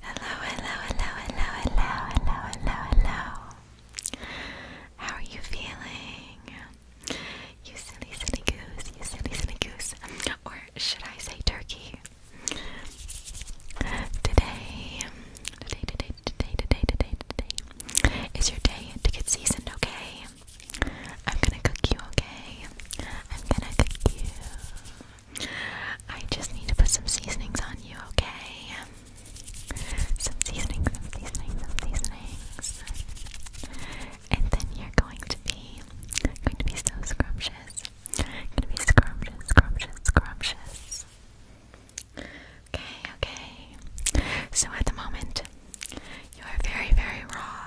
Hello, hello, hello, hello, hello, hello, hello, hello. How are you feeling? You silly, silly goose, you silly, silly goose. Or should I say turkey? Today, today, today, today, today, today, today is your day to get seasoned, okay? I'm gonna cook you, okay? I'm gonna cook you. I just need to put some seasonings on you, okay? Some seasonings, seasonings, seasonings. And then you're going to be going to be so scrumptious. Gonna be scrumptious, scrumptious, scrumptious. Okay, okay. So at the moment, you are very, very raw.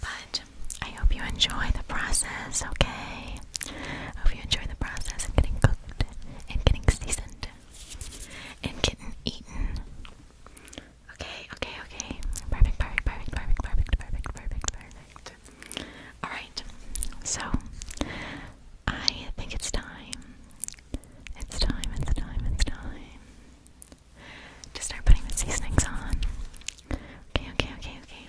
But I hope you enjoy the process, okay? hope you enjoy the process of getting cooked and getting seasoned and getting eaten. Okay, okay, okay. Perfect, perfect, perfect, perfect, perfect, perfect, perfect, Alright, so I think it's time. It's time, it's time, it's time to start putting the seasonings on. Okay, okay, okay, okay.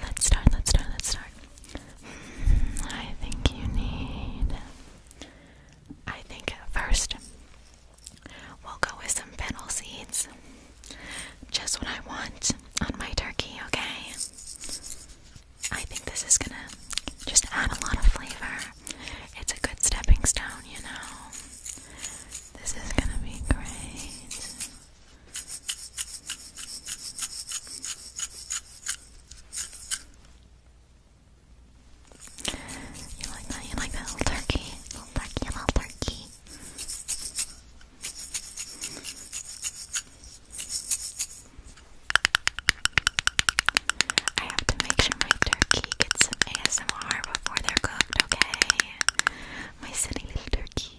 Let's start, let's start, let's start. Hmm, I think you need. I think at first we'll go with some fennel seeds. Just what I want on my turkey, okay? I think this is gonna just add a lot of flavor. It's a good stepping stone, you know. This is gonna be great. You like that? You like that little turkey? Little turkey, little turkey. I have to make sure my turkey gets some ASMR before they're cooked, okay? My silly little turkey.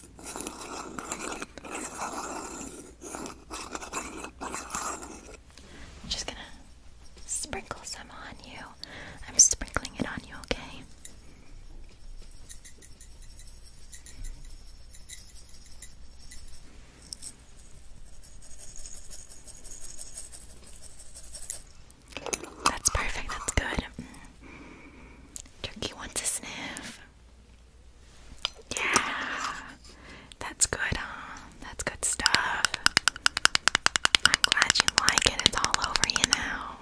I'm just gonna sprinkle some on you. I'm sprinkling it on you, okay? That's perfect, that's good. Mm. Turkey wants a sniff. Yeah, that's good, huh? Um, that's good stuff. I'm glad you like it. It's all over you now.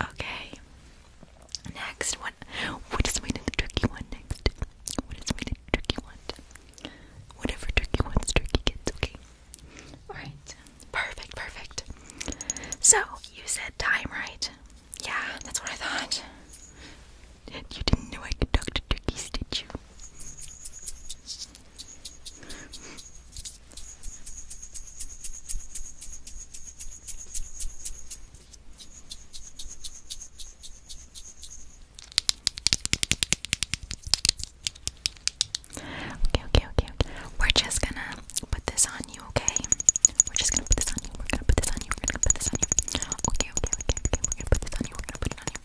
Okay. Next, what? What is we did the turkey one next? What is we did the one? Whatever turkey wants, turkey gets. Okay. All right. Perfect, perfect. So, you said time, right? Yeah, that's what I thought. You didn't know I could talk to did you? Okay, okay, okay, okay. We're just gonna put this on you, okay? We're just gonna put this on you. We're gonna put this on you. We're gonna put this on you. Okay, okay, okay, okay. We're gonna put this on you. We're gonna put it on you.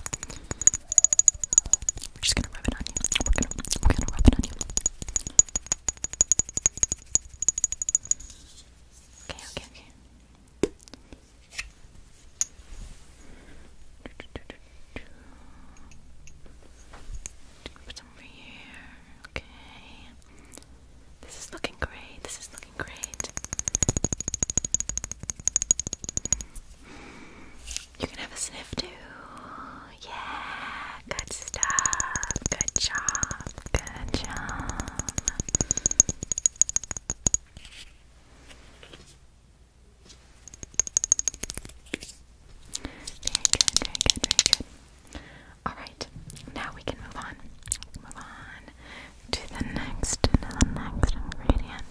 We're just gonna rub it on you. We're gonna, we're gonna rub it on you. Okay, okay, okay. Put some over here. Okay. This is looking great. This is looking great. You can have a sniff too. Yeah, good stuff. Good job. Good job. Very good, very good, very good. Alright, now we can move on. move on to the next, to the next ingredient.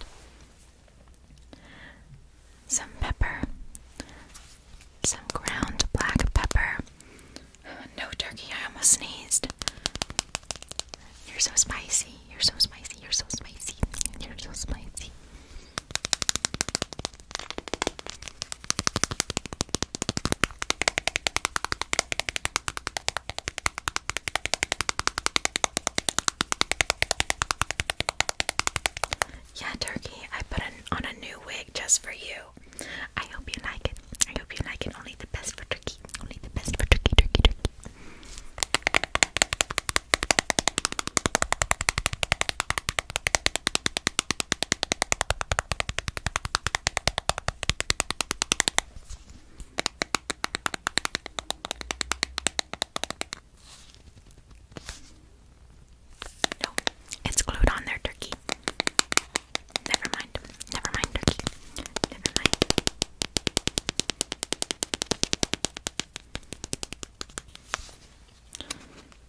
Some pepper. Some ground black pepper. No turkey, I almost sneezed. You're so spicy, you're so spicy, you're so spicy, you're so spicy. Yeah, Turkey, I put on a new wig just for you. I hope you like it. I hope you like it. Only the best for Turkey. Only the best for Turkey, Turkey, Turkey. No, it's glued on there, turkey. Never mind. Never mind, turkey. Never mind.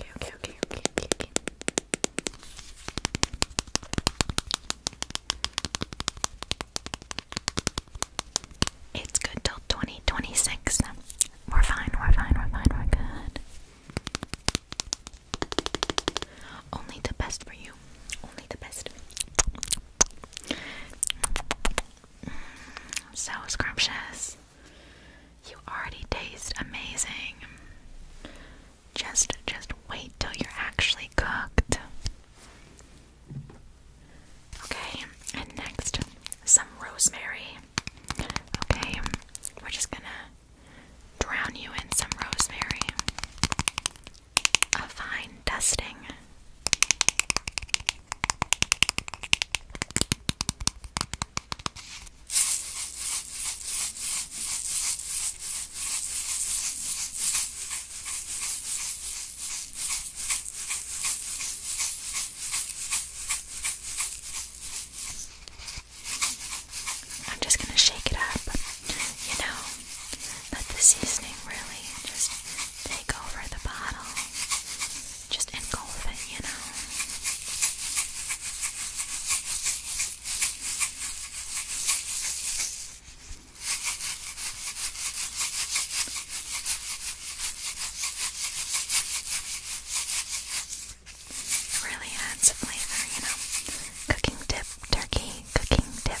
Okay, okay, okay, okay, okay, okay. It's good till 2026. 20, we're fine, we're fine, we're fine, we're good. Only the best for you. Only the best. Mm, so scrumptious. You already taste amazing. Just just wait till you're actually cooked. Okay, and next some rosemary. Okay, we're just gonna drown you in some rosemary. A fine dusting. I'm just going to shake it up, you know, let the seasoning really just take over the bottle, just engulf it, you know. It really adds flavor, you know. Cooking dip, turkey, cooking dip.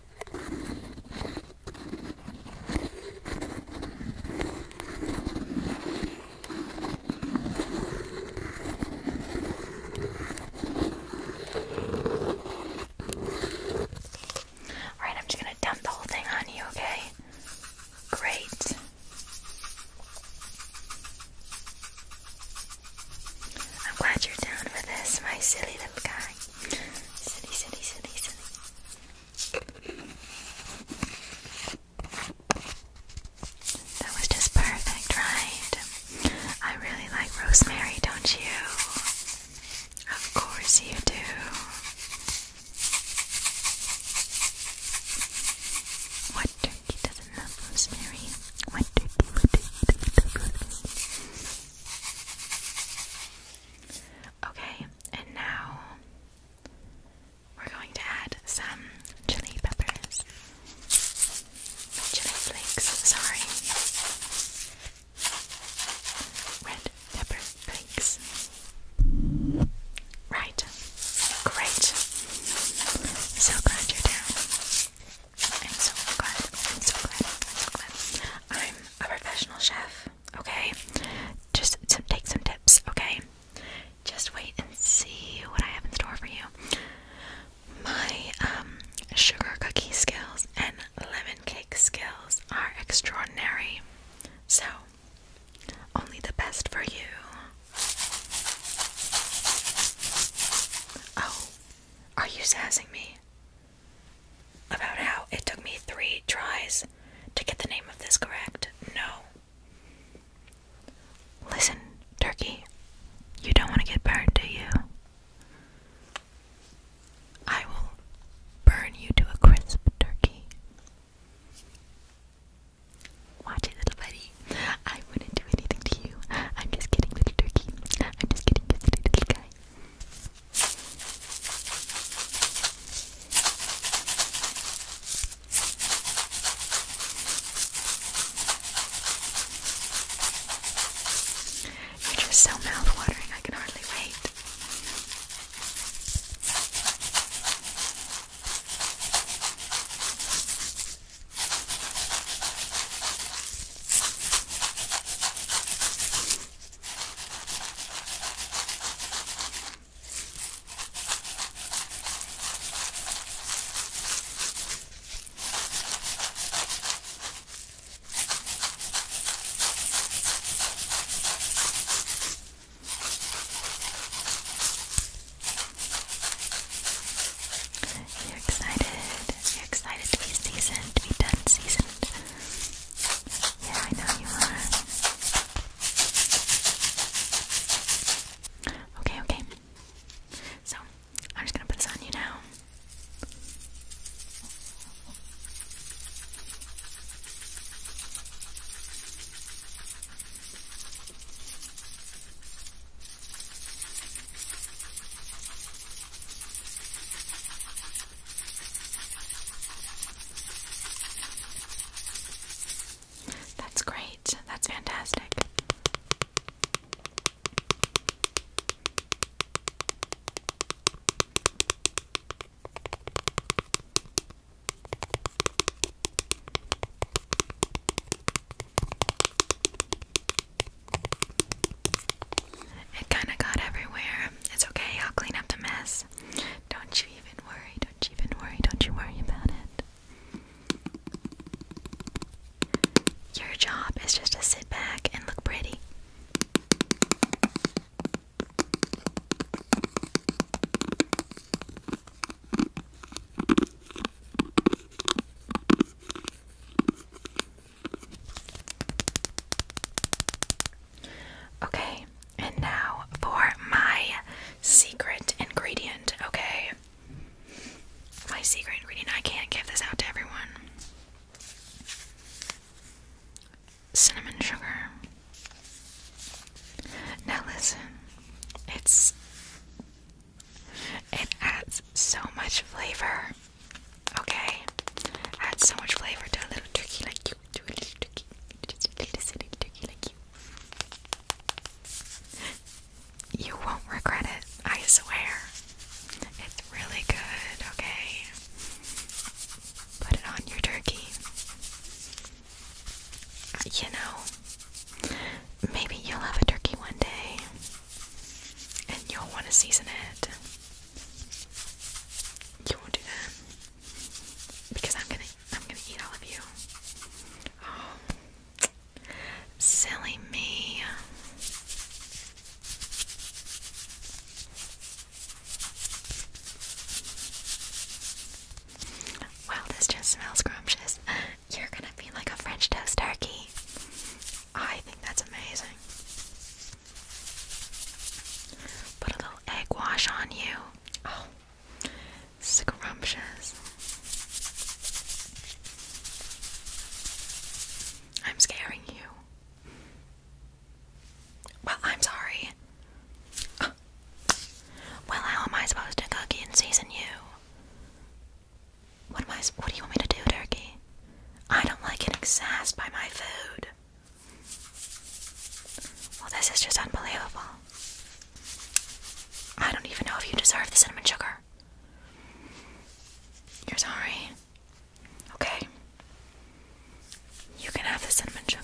All right, I'm just going to dump the whole thing on you, okay? Great. I'm glad you're down for this, my silly little guy. Silly, silly, silly, silly. That was just perfect, right? I really like rosemary, don't you? Of course you do. What turkey doesn't love rosemary? What turkey, what turkey doesn't love rosemary? Okay, and now we're going to add some chili peppers. chili flakes, sorry. Red pepper flakes. Right. Great. So glad you're down. I'm so glad. I'm so glad. I'm a professional chef, okay? Just to take some tips, okay? Just wait and see what I have in store for you. My um, sugar cookie skills and lemon cake skills are extraordinary. So, only the best for you. Oh, are you sassing me? about how it took me three tries to get the name of this correct. No. Listen, Turkey, you don't want to get burned, do you? I will burn you to a crisp, Turkey. Watch it, little buddy. I wouldn't do anything to you. I'm just kidding, little turkey. I'm just kidding, just a little guy. You're just so mouth-watering, I can hardly wait. You're excited. You're excited to be seasoned, to be done seasoned. Yeah, I know you are. Okay, okay. So, I'm just gonna put this on you now. That's great. That's fantastic. It kinda got everywhere. It's okay, I'll clean up the mess. Don't you even worry, don't you even worry, don't you worry about it. Your job is just to sit back and look pretty. Okay, and now for my secret ingredient, okay? My secret ingredient, I can't give this out to everyone. Cinnamon sugar. Now listen, it's it adds so much flavor. Okay, add so much flavor to a little turkey like you. turkey like you. You won't regret it. I swear, it's really good. Okay, put it on your turkey. Uh, you know, maybe you'll have a turkey one day, and you'll want to season it. You won't do that because I'm gonna I'm gonna eat all of you. Oh, silly me. Wow, this just smells scrumptious. You're gonna be like a French toast turkey. I think that's amazing. Put a little egg wash on you. Oh, scrumptious. I'm scaring you. Well, I'm sorry. Well, how am I supposed to cook and season you? What am I? What do you want me to do, Turkey? I don't like getting sassed by my food. Well, this is just unbelievable. I don't even know if you deserve the cinnamon sugar. You're sorry? Okay. You can have the cinnamon sugar.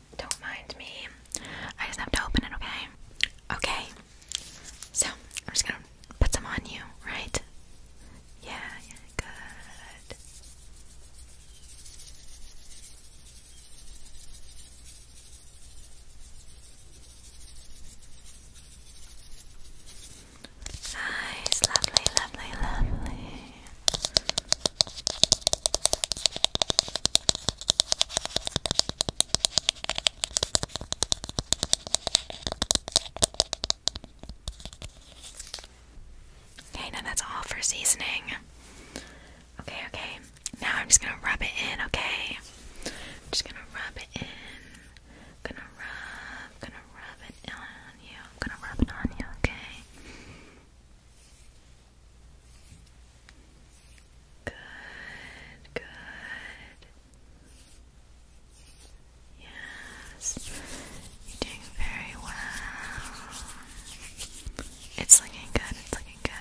Don't mind me. I just have to open it, okay? Okay. So, I'm just gonna put some on you, right? Yeah, good. Nice, lovely, lovely, lovely. Okay, now that's all for seasoning. Okay, okay. Now I'm just gonna rub it in, okay? I'm just gonna rub it in. I'm gonna rub, gonna rub it on you. I'm gonna rub it on you, okay? Good, good. Yes, you're doing very well. It's looking good, it's looking good.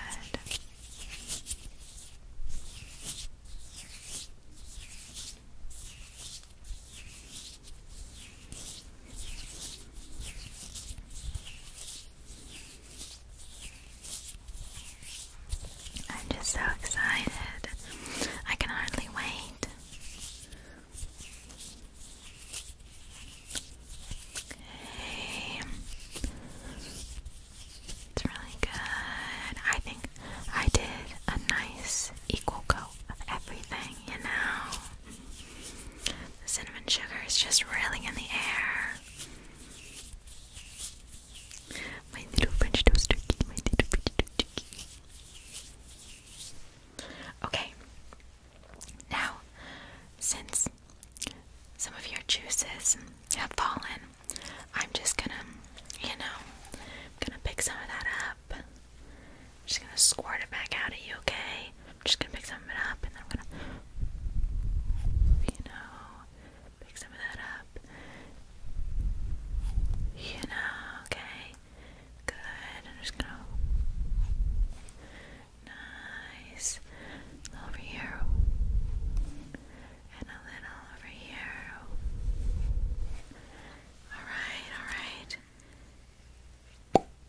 I'm just so excited. I can hardly wait. It's really good. I think I did a nice equal coat of everything, you know. The cinnamon sugar is just really in the air. My little French toast turkey, my little French toast turkey. Okay. Now, since some of your juices have fallen, I'm just gonna, you know, I'm gonna pick some of that up. just gonna squirt it back out at you, okay? I'm just gonna pick some of it up and then I'm gonna, you know, pick some of that up. You know, okay. Good. I'm just gonna. Nice. A little over here. And a little over here. Alright, alright.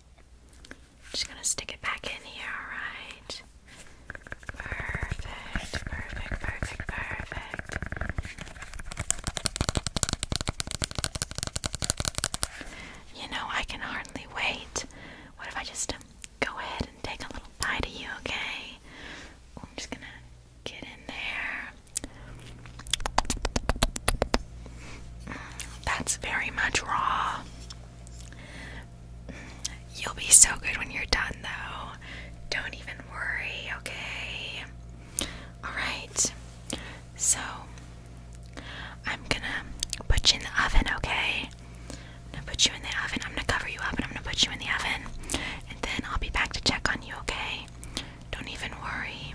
I'm just gonna stick it back in here, alright? Perfect, perfect, perfect, perfect. You know, I can hardly wait. What if I just um, go ahead and take a little bite of you, okay? I'm just gonna get in there. That's very much raw. You'll be so good when you're done, though. Don't even worry, okay? Alright, so I'm gonna put you in the oven, okay? I'm gonna put you in the oven. I'm gonna cover you up and I'm gonna put you in the oven. And then I'll be back to check on you, okay? Don't even worry.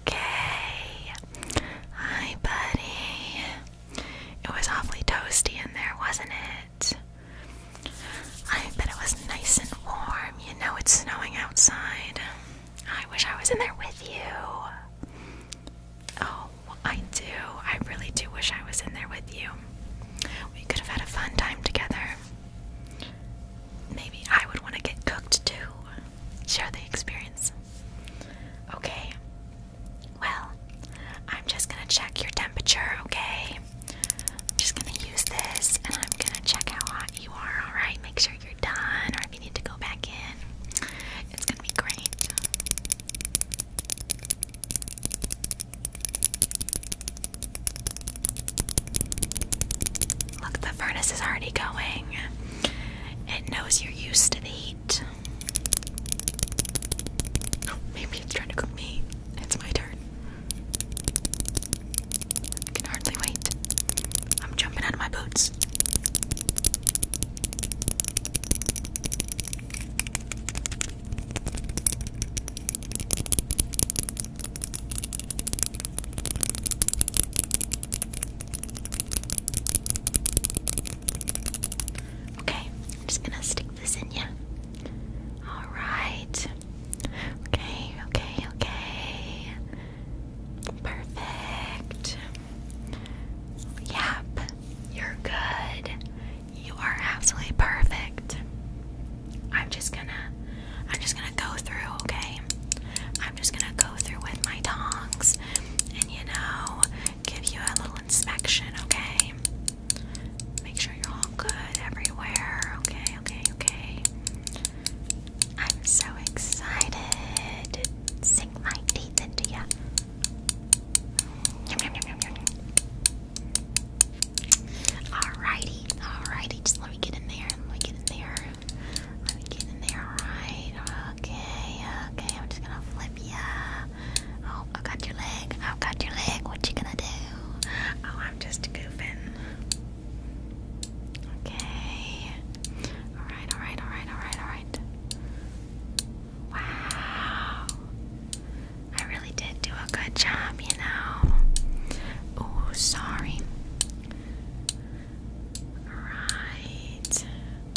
Okay. Hi, buddy. It was awfully toasty in there, wasn't it? I bet it was nice and warm. You know it's snowing outside. I wish I was in there with you. Oh, I do. I really do wish I was in there with you. We could have had a fun time together. Maybe I would want to get cooked too share the experience. Okay. Well, I'm just gonna check your temperature, okay? I'm just gonna use this and I'm gonna check how hot you are, alright? Make sure you're done or if you need to go back in. It's gonna be great. Look, the furnace is already going. It knows you're used to the heat. Oh, maybe it's trying to cook me. It's my turn. can hardly wait. I'm jumping out of my boots. Okay, I'm just gonna stick this in you. Alright. Okay, okay, okay. Perfect. Yep, you're good. You are absolutely perfect. I'm just gonna I'm just gonna go through, okay? I'm just gonna go through with my tongs and, you know, give you a little inspection, okay? Make sure you're all good everywhere, okay, okay, okay. I'm so excited. Sink my teeth into ya. Alrighty, alrighty, just let me get in there, let me get in there. Let me get in there, alright? Okay, okay, I'm just gonna flip ya. Oh, I got your leg. i got your leg. What you gonna do? Oh, I'm just goofing. Okay. Alright, alright, alright, alright, alright. Wow. I really did do a good job, you know. Oh, sorry. Right.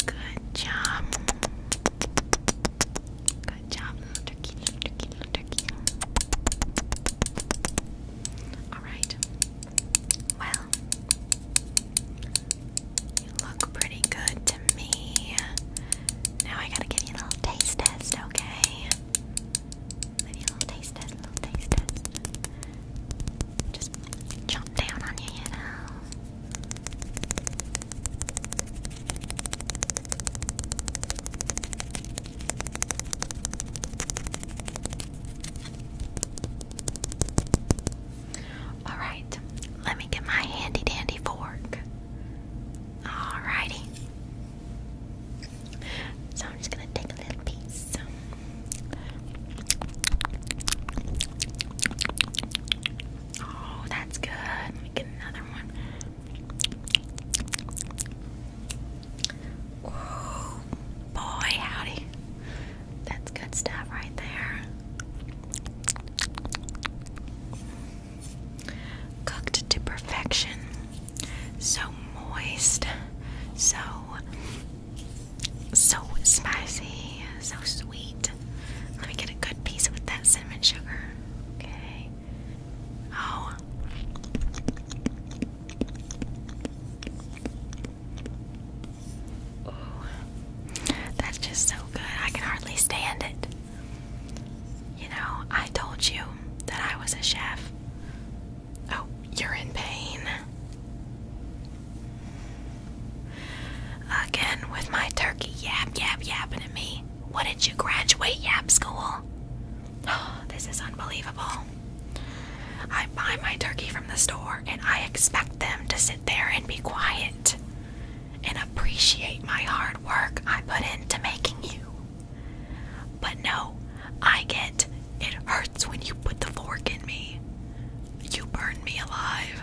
Good job. Good job, turkey, turkey, turkey. Alright. Well, you look pretty good to me. Now I gotta give you a little taste test, okay? little taste test, little taste test. Just jump down on you, you know. Alright, let me get my handy dandy fork. Alrighty. So I'm just gonna take a little piece. Oh, that's good. get another one. Oh, boy, howdy. That's good stuff right there. Cooked to perfection. So moist. So so spicy, so sweet. Let me get a good piece with that cinnamon sugar. Okay. Oh. That's just so good. I can hardly stand it. You know, I told you that I was a chef. Oh, you're in pain. Again with my turkey yap yap yapping at me. What did you graduate yap school? this is unbelievable. I buy my turkey from the store and I expect them to sit there and be quiet and appreciate my hard work I put into making you. But no, I get it hurts when you put the fork in me. You burn me alive.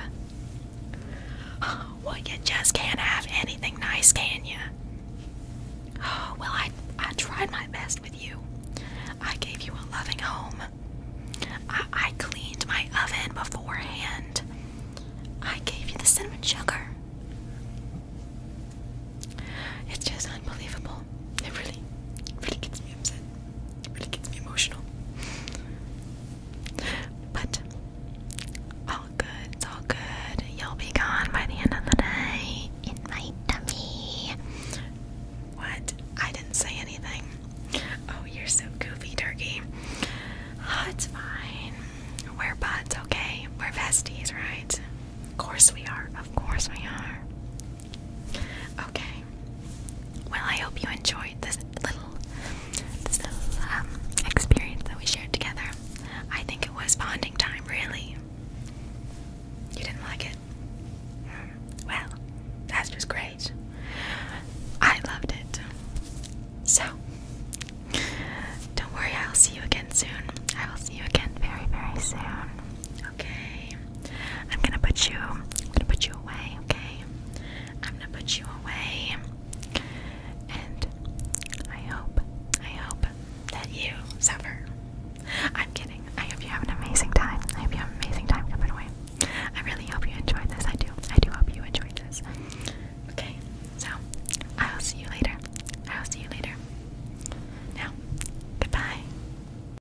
Well, you just can't have anything nice, can you? Oh, well, I, I tried my best with you. I gave you a loving home. I, I cleaned my oven beforehand. I gave you the cinnamon sugar. It's just unbelievable. It really, really gets me upset. It gets me emotional. But all good, it's all good. You'll be gone by the end of the day in my tummy. What? I didn't say anything. Oh, you're so goofy, Turkey. Oh, it's fine. We're buds, okay? We're besties, right? Of course we are. Of course we are. Okay. Well, I hope you enjoyed this little, this little um, experience that we shared together. I think it was bonding time, really. You didn't like it? Well, that's just great. I loved it. So, don't worry, I'll see you again soon. I will see you again very, very soon. Okay. I'm gonna put you gonna put you away, okay? I'm gonna put you away. And I hope, I hope that you suffer. I'm kidding. I hope you have an amazing time. I hope you have an amazing time coming away. I really hope you enjoyed this. I do. I do hope you enjoyed this. Okay, so I'll see you later. I'll see you later. Now, goodbye.